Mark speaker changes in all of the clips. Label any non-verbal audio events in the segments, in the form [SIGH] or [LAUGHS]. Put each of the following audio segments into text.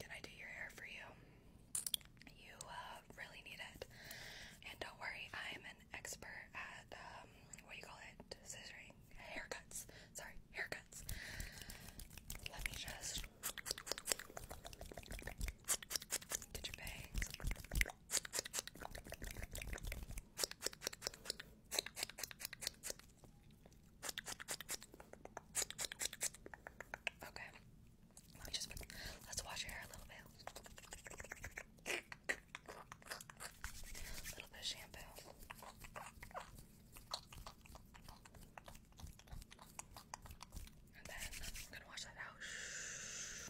Speaker 1: Can I do your hair for you? You uh, really need it. And don't worry, I'm an expert at um, what do you call it? Scissoring? Haircuts. Sorry, haircuts. Let me just Get your bangs.
Speaker 2: Okay. let's wash your hair a little bit. A little bit of shampoo. And then I'm gonna wash that out. a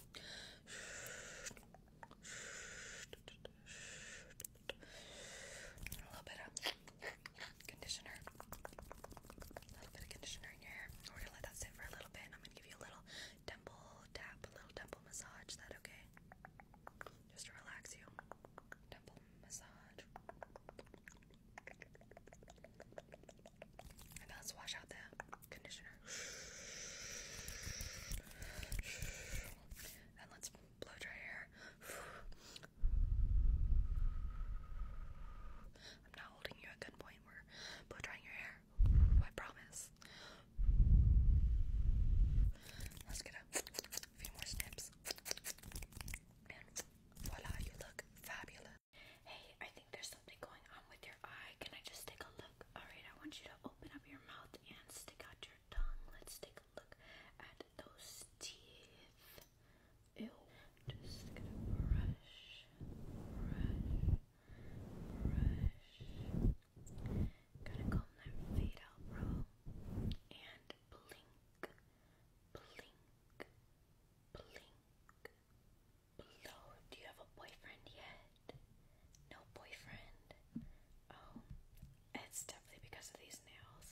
Speaker 2: little bit of conditioner. A little bit of conditioner in your hair. We're gonna let that sit for a little bit I'm gonna give you a little temple tap, a little temple massage. that okay? Just to relax you. Temple massage.
Speaker 1: And now let's wash out the
Speaker 2: conditioner. And let's blow dry hair. I'm not holding you at gunpoint. We're blow drying your hair. I promise. Let's get a few more snips. And you look fabulous. Hey, I think there's something going on with your eye. Can I just take a look? Alright, I want you to open up your mouth and stick out your tongue. Let's take a look at those teeth. Ew. Just gonna brush, brush, brush. Gotta comb that fade out, bro. And blink, blink, blink, do you have a boyfriend yet? No boyfriend. Oh, it's definitely because of these nails.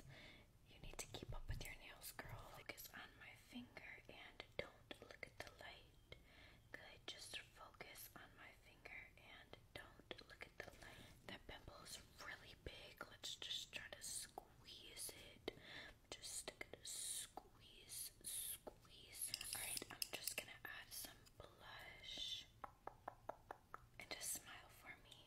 Speaker 2: You need to keep up with your nails, girl. Focus on my finger and don't look at the light. Good, just focus on my finger and don't look at the light. That pimple is really big. Let's just try to squeeze it. Just gonna squeeze, squeeze. Alright, I'm just gonna add some blush. And just smile for me.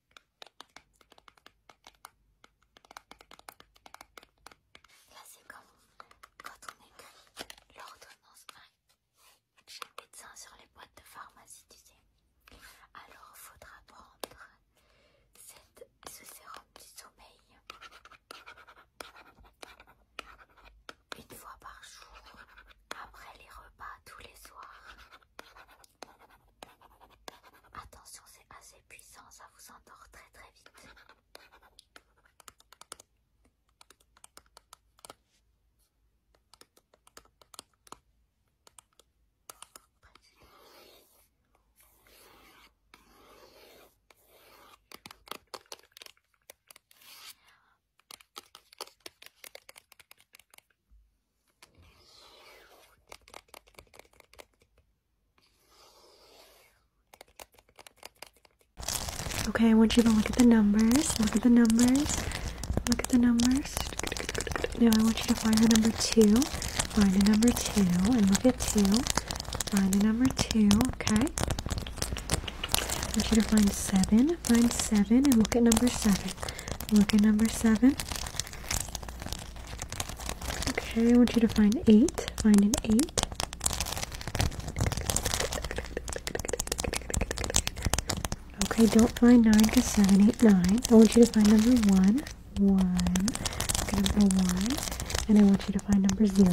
Speaker 1: Là, c'est comme quand
Speaker 2: on écrit l'ordonnance. J'ai le médecin sur les boîtes de pharmacie, tu sais. Alors, faudra prendre cette, ce sérum du sommeil une fois par jour, après les repas tous les soirs. Attention, c'est assez puissant, ça vous endort très très vite.
Speaker 3: Okay, I want you to look at the numbers. Look at the numbers. Look at the numbers. Now I want you to find the number two. Find the number two and look at two. Find the number two, okay? I want you to find seven. Find seven and look at number seven. Look at number seven. Okay, I want you to find eight. Find an eight. Okay, don't find nine because seven, eight, nine. I want you to find number one. One. number one. And I want you to find number zero.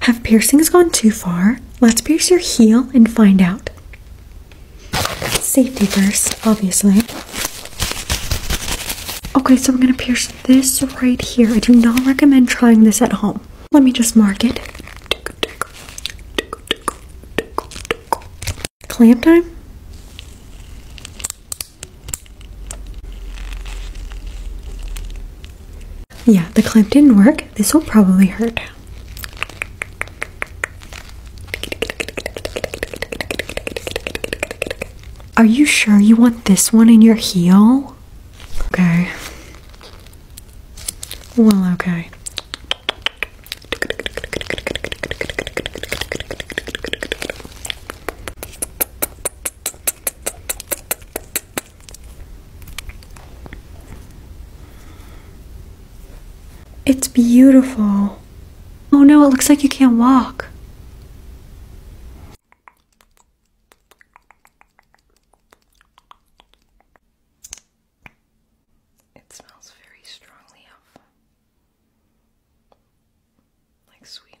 Speaker 3: Have piercings gone too far? Let's pierce your heel and find out. Safety first, obviously. Okay, so I'm gonna pierce this right here. I do not recommend trying this at home. Let me just mark it. Clamp time? Yeah, the clamp didn't work. This will probably hurt. Are you sure you want this one in your heel? Okay. Well, okay. It's beautiful. Oh no, it looks like you can't walk.
Speaker 1: It smells very strongly of like sweetener.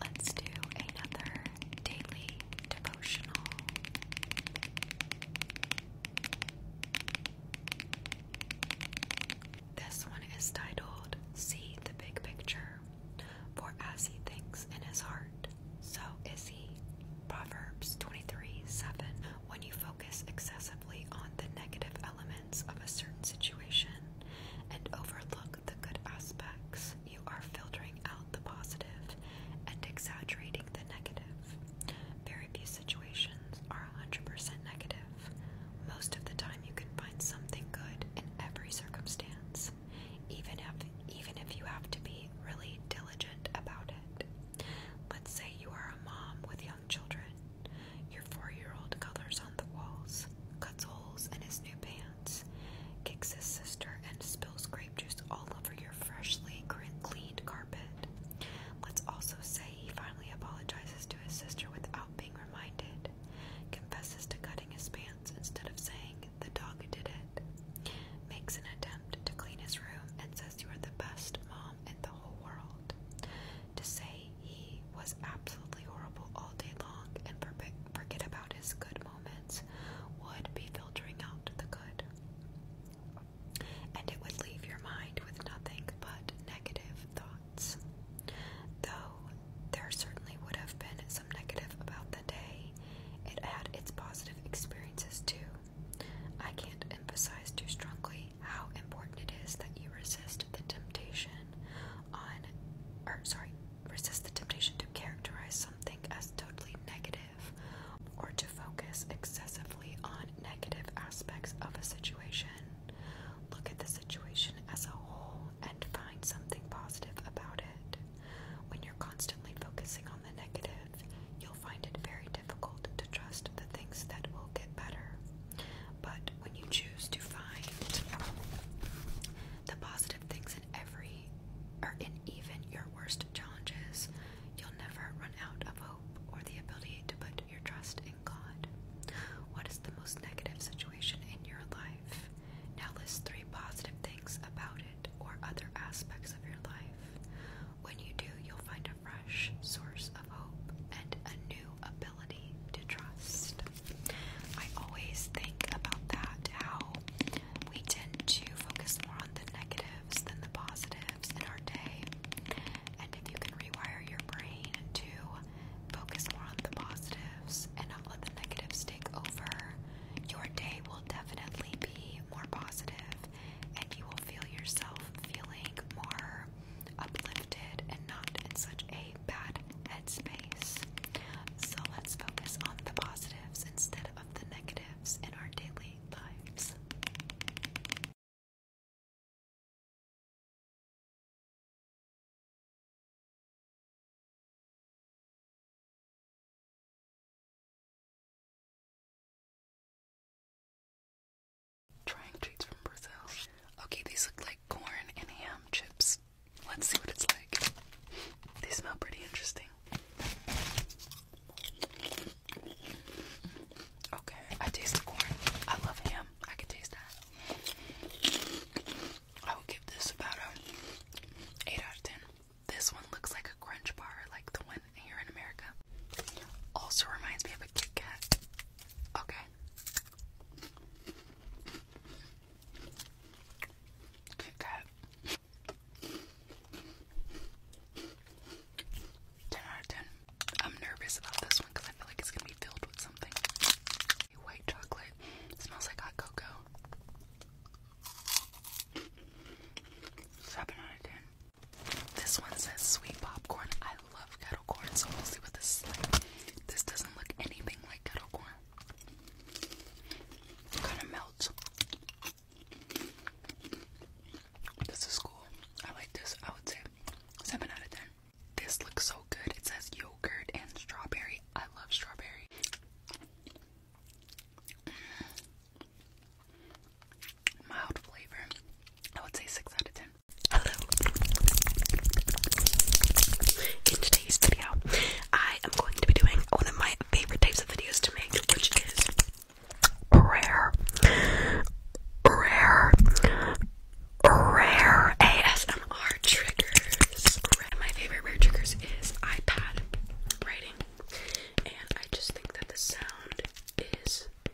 Speaker 2: Let's do another daily devotional. This one is titled See the Big Picture. For as he thinks in his heart, so is he. Proverbs 23 7. When you focus focus excessively on the negative elements of a certain situation and overlook the good aspects, you are filtering out the positive and exaggerating the negative. Very few situations are 100% negative. Most of the time, you can find something good in every circumstance, even if, even if you have to be really diligent about it. Let's say you are a mom with children. Your four year old colors on the walls, cuts holes in his new pants, kicks his sister, and spills grape juice all over your freshly cleaned carpet. Let's also say he finally apologizes to his sister without being reminded, confesses to cutting his pants instead of saying, The dog did it, makes an attempt to clean his room, and says, You are the best mom in the whole world. To say he was absolutely horrible all day long and forget about his good moments would be filtering out the good. And it would leave your mind with nothing but negative thoughts. Though there certainly would have been some negative about the day, it had its positive experiences too. I can't emphasize too strongly how important it is that you resist the temptation on or sorry, resist the temptation to characterize something as totally negative or to focus excessively on negative aspects of a situation. Look at the situation as a whole and find something positive about it. When you're constantly focusing on the negative, you'll find it very difficult to trust the things that will get better. But when you choose to find the positive things in every or in even your worst challenges, you'll never run out of hope or the ability to put your trust in God. What is the most negative situation in your life? Now list three positive things about it or other aspects of your life. When you do, you'll find fresh source of hope and a new ability to trust. I always think about that, how we tend to focus more on the negatives than the positives in our day. And if you can rewire your brain to focus more on the positives and not let the negatives take over, your day will definitely be more positive and you will feel yourself feeling more uplifted and not in such a bad headspace. So let's focus on the positives instead of the negatives in our daily lives.
Speaker 1: Trying treats from Brazil. Okay, these look like corn and ham chips. Let's see what it's like. They smell pretty interesting. Okay, I taste the corn. I love ham. I can taste that. I would give this about a 8 out of 10. This one looks like a crunch bar, like the one here in America. Also reminds me of a Kit Kat. Okay. Kit Kat. 10 out of 10. I'm nervous about this one because I feel like it's going to be filled with something. White chocolate. smells like hot cocoa. 7 out of 10. This one says sweet popcorn. I love kettle corn, so we'll see what this is like. This doesn't look anything like kettle corn. It kind of melts. This is cool. I like this. I would say 7 out of 10. This looks so good. It says yogurt and strawberry. I love strawberry mild flavor. I would say 6 out of 10. Hello. In today's video, I am going to be doing one of my favorite types of videos to make, which is rare, rare, rare ASMR triggers. My favorite rare triggers is iPad writing, and I just think that the sound is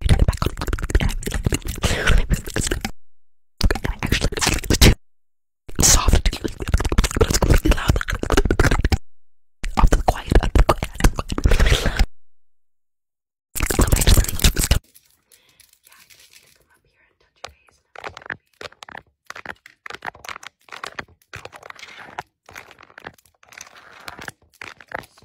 Speaker 1: You turn it back on. And I actually soft, but it's completely loud. Off to the quiet, up the quiet. Yeah, I just need to come up here and touch your face and everything.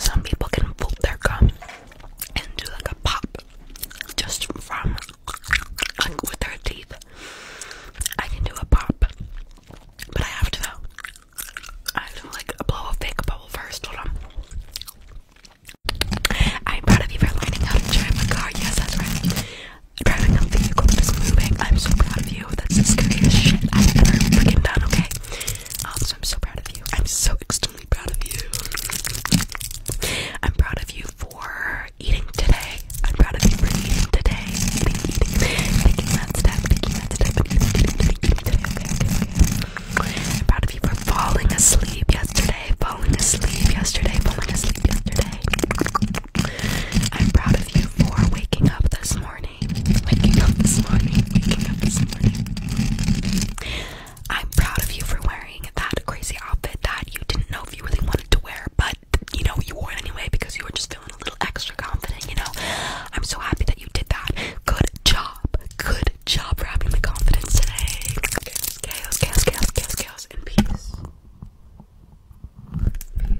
Speaker 1: Some people can fold their gum and do like a pop just from like with their teeth. I can do a pop, but I have to I have to like blow a fake bubble first. Hold on. I'm proud of you for learning how to drive a car. Yes, that's right driving a vehicle that is moving. I'm so proud of you. That's the scariest
Speaker 2: shit I've ever freaking done, okay? Um, so I'm so proud of you. I'm so extremely proud of you. I'm proud of you for eating today. I'm proud of you for eating today. Eating, eating, taking that step, taking that step, and eating, eating, eating today, okay, okay, okay. I'm proud of you for falling asleep yesterday, falling asleep yesterday, falling asleep yesterday. I'm proud of you for waking up this morning. Waking up this morning. Waking up this morning. I'm proud of you for wearing that crazy outfit that you didn't know if you really wanted to wear, but you know, you wore it anyway because you were just feeling a little extra confident, you know? I'm so
Speaker 1: happy that you did that. Good job. Good job for having the confidence today. Chaos, chaos, chaos, chaos, chaos, chaos, and peace. Peace.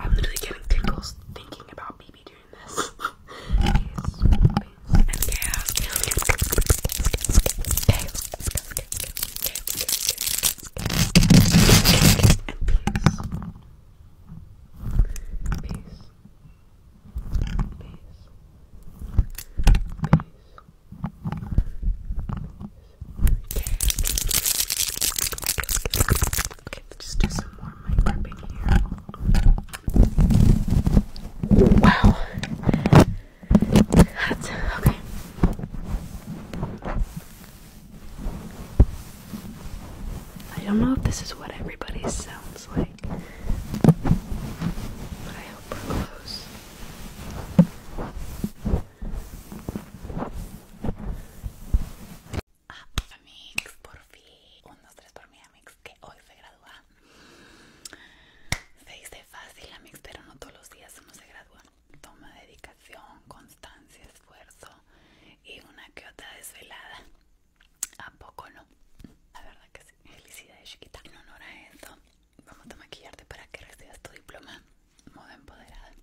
Speaker 1: I'm literally getting tingles thinking about BB doing this. [LAUGHS] peace. Peace. Peace. Peace. Peace. Okay, let's just do some more mic gripping here. Wow. okay. I don't know if this is what everybody sounds like, but I hope we're close. Ah, Amix, por fin. Un, tres por mi Amix, que hoy se gradúa. Se dice fácil, Amix, pero no todos los días uno se gradúa. Toma dedicación, constancia, esfuerzo y una que otra desvelada. ¿A poco no? La verdad que sí. Felicidades, chiquita. En honor a eso, vamos a maquillarte para que recibas tu diploma modo empoderada.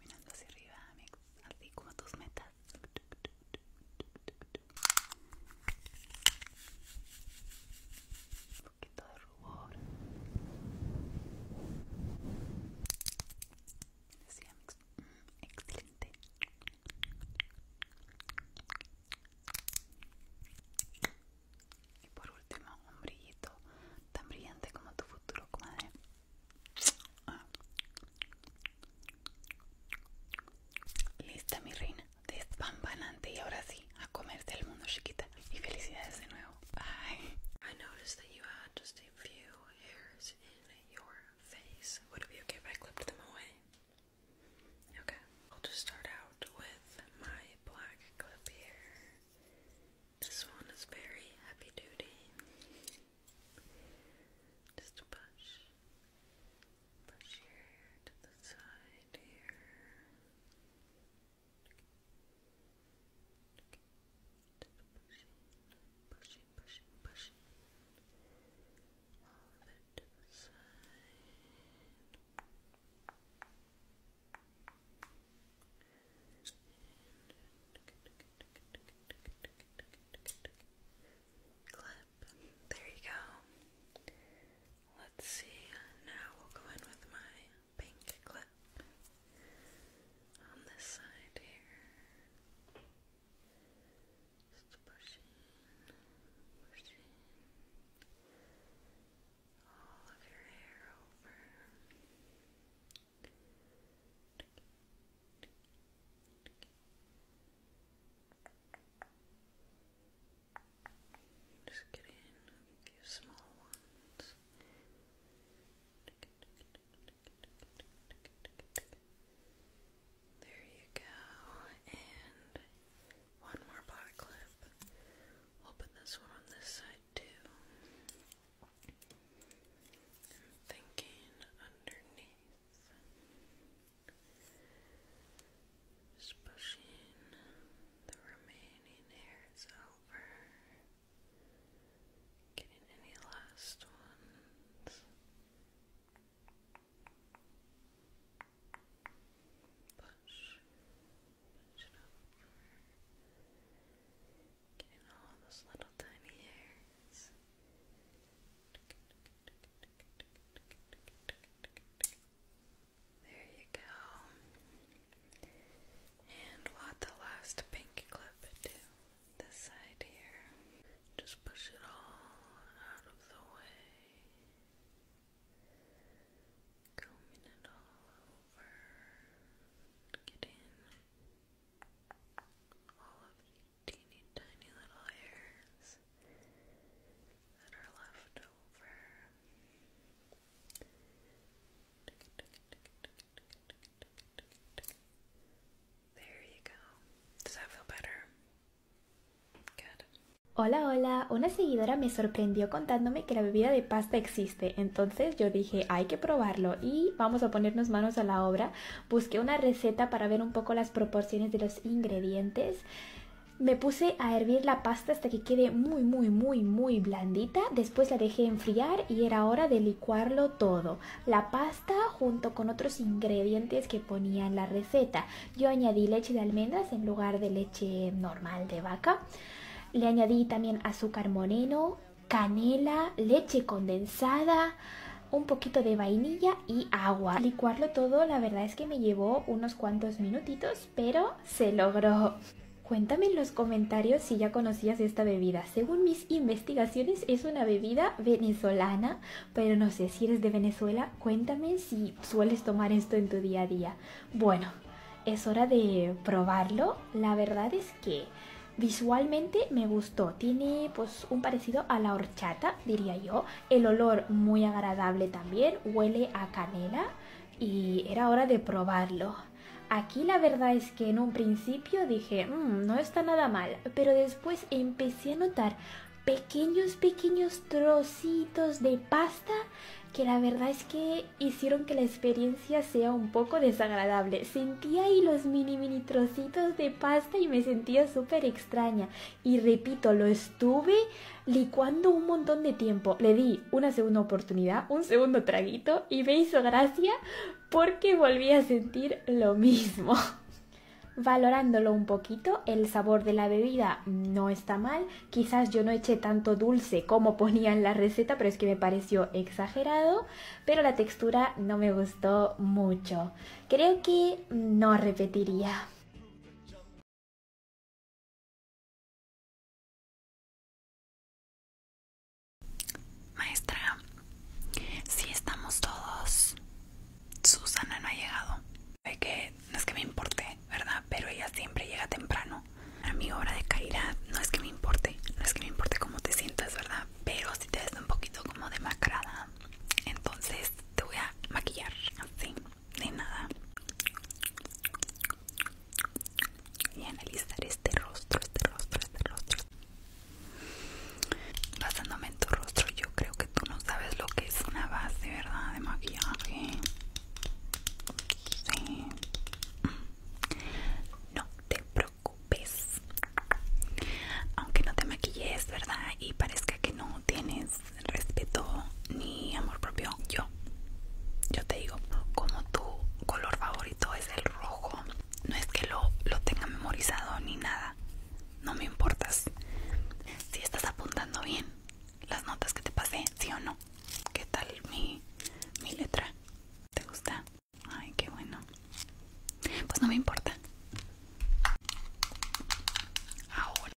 Speaker 1: Mirando hacia arriba, así como tus metas. Un poquito de rubor. Mm, excelente. Y por último, un brillito tan brillante como tu futuro, comadre. Ah. Lista, mi reina despampanante y ahora sí, a comerse el mundo chiquita. Y felicidades de nuevo. Bye. I noticed that you had just a few hairs in your face. Would it be okay if I clipped them away? Okay. I'll just start out with my black clip here. This one is very heavy duty. Just push, Push your hair to the side here. pushing, pushing, pushing, pushing. All of it to the side. clap, there you go. Let's see. Now we'll go in with my pink clip on this side here. Just pushing, pushing all of your hair over. Just get in a few small ones. There you go. And one more pot clip. we this one on this side too. I'm thinking underneath. Just pushing the remaining hairs over, getting any last ones. Push, push it over, getting all those little tiny hairs. There you go. And we the last pink clip to this side here. Just push it all out of the way. Combing it all over. Get in all of the teeny tiny little hairs.
Speaker 4: Hola, hola. Una seguidora me sorprendió contándome que la bebida de pasta existe. Entonces yo dije, hay que probarlo y vamos a ponernos manos a la obra. Busqué una receta para ver un poco las proporciones de los ingredientes. Me puse a hervir la pasta hasta que quede muy, muy, muy, muy blandita. Después la dejé enfriar y era hora de licuarlo todo. La pasta junto con otros ingredientes que ponía en la receta. Yo añadí leche de almendras en lugar de leche normal de vaca. Le añadí también azúcar moreno, canela, leche condensada, un poquito de vainilla y agua. Licuarlo todo, la verdad es que me llevó unos cuantos minutitos, pero se logró. Cuéntame en los comentarios si ya conocías esta bebida. Según mis investigaciones es una bebida venezolana, pero no sé si eres de Venezuela, cuéntame si sueles tomar esto en tu día a día. Bueno, es hora de probarlo. La verdad es que visualmente me gustó. Tiene pues un parecido a la horchata, diría yo, el olor muy agradable también, huele a canela y era hora de probarlo. Aquí la verdad es que en un principio dije, mm, no está nada mal, pero después empecé a notar pequeños, pequeños trocitos de pasta que la verdad es que hicieron que la experiencia sea un poco desagradable. Sentía ahí los mini, mini trocitos de pasta y me sentía súper extraña y repito, lo estuve licuando un montón de tiempo. Le di una segunda oportunidad, un segundo traguito y me hizo gracia porque volví a sentir lo mismo. [LAUGHS] Valorándolo un poquito, el sabor de la bebida no está mal. Quizás yo no eché tanto dulce como ponía en la receta, pero es que me pareció exagerado. Pero la textura no me gustó mucho. Creo que no repetiría.
Speaker 1: Maestra, si sí estamos todos, Susana no ha llegado. ve que no es que me importe, ¿verdad? Pero ella siempre llega temprano. A mi hora de caída no es que me importe, no es que me importe cómo te sientas, ¿verdad? Pero si te ves un poquito como demacrada, entonces te voy a maquillar, así. De nada y analizar este rostro, este rostro, este rostro basándome en tu rostro yo creo que tú no sabes lo que es una base, ¿verdad? de maquillaje no te preocupes aunque no te maquilles, ¿verdad? y parezca que no tienes respeto ni amor propio. Yo, yo te digo, como tu color favorito es el rojo, no es que lo, tenga memorizado ni nada, no me importas. Si estás apuntando bien las notas que te pasé, sí o no. ¿Qué tal mi, mi letra? ¿Te gusta? Ay, qué bueno. Pues no me importa. Ahora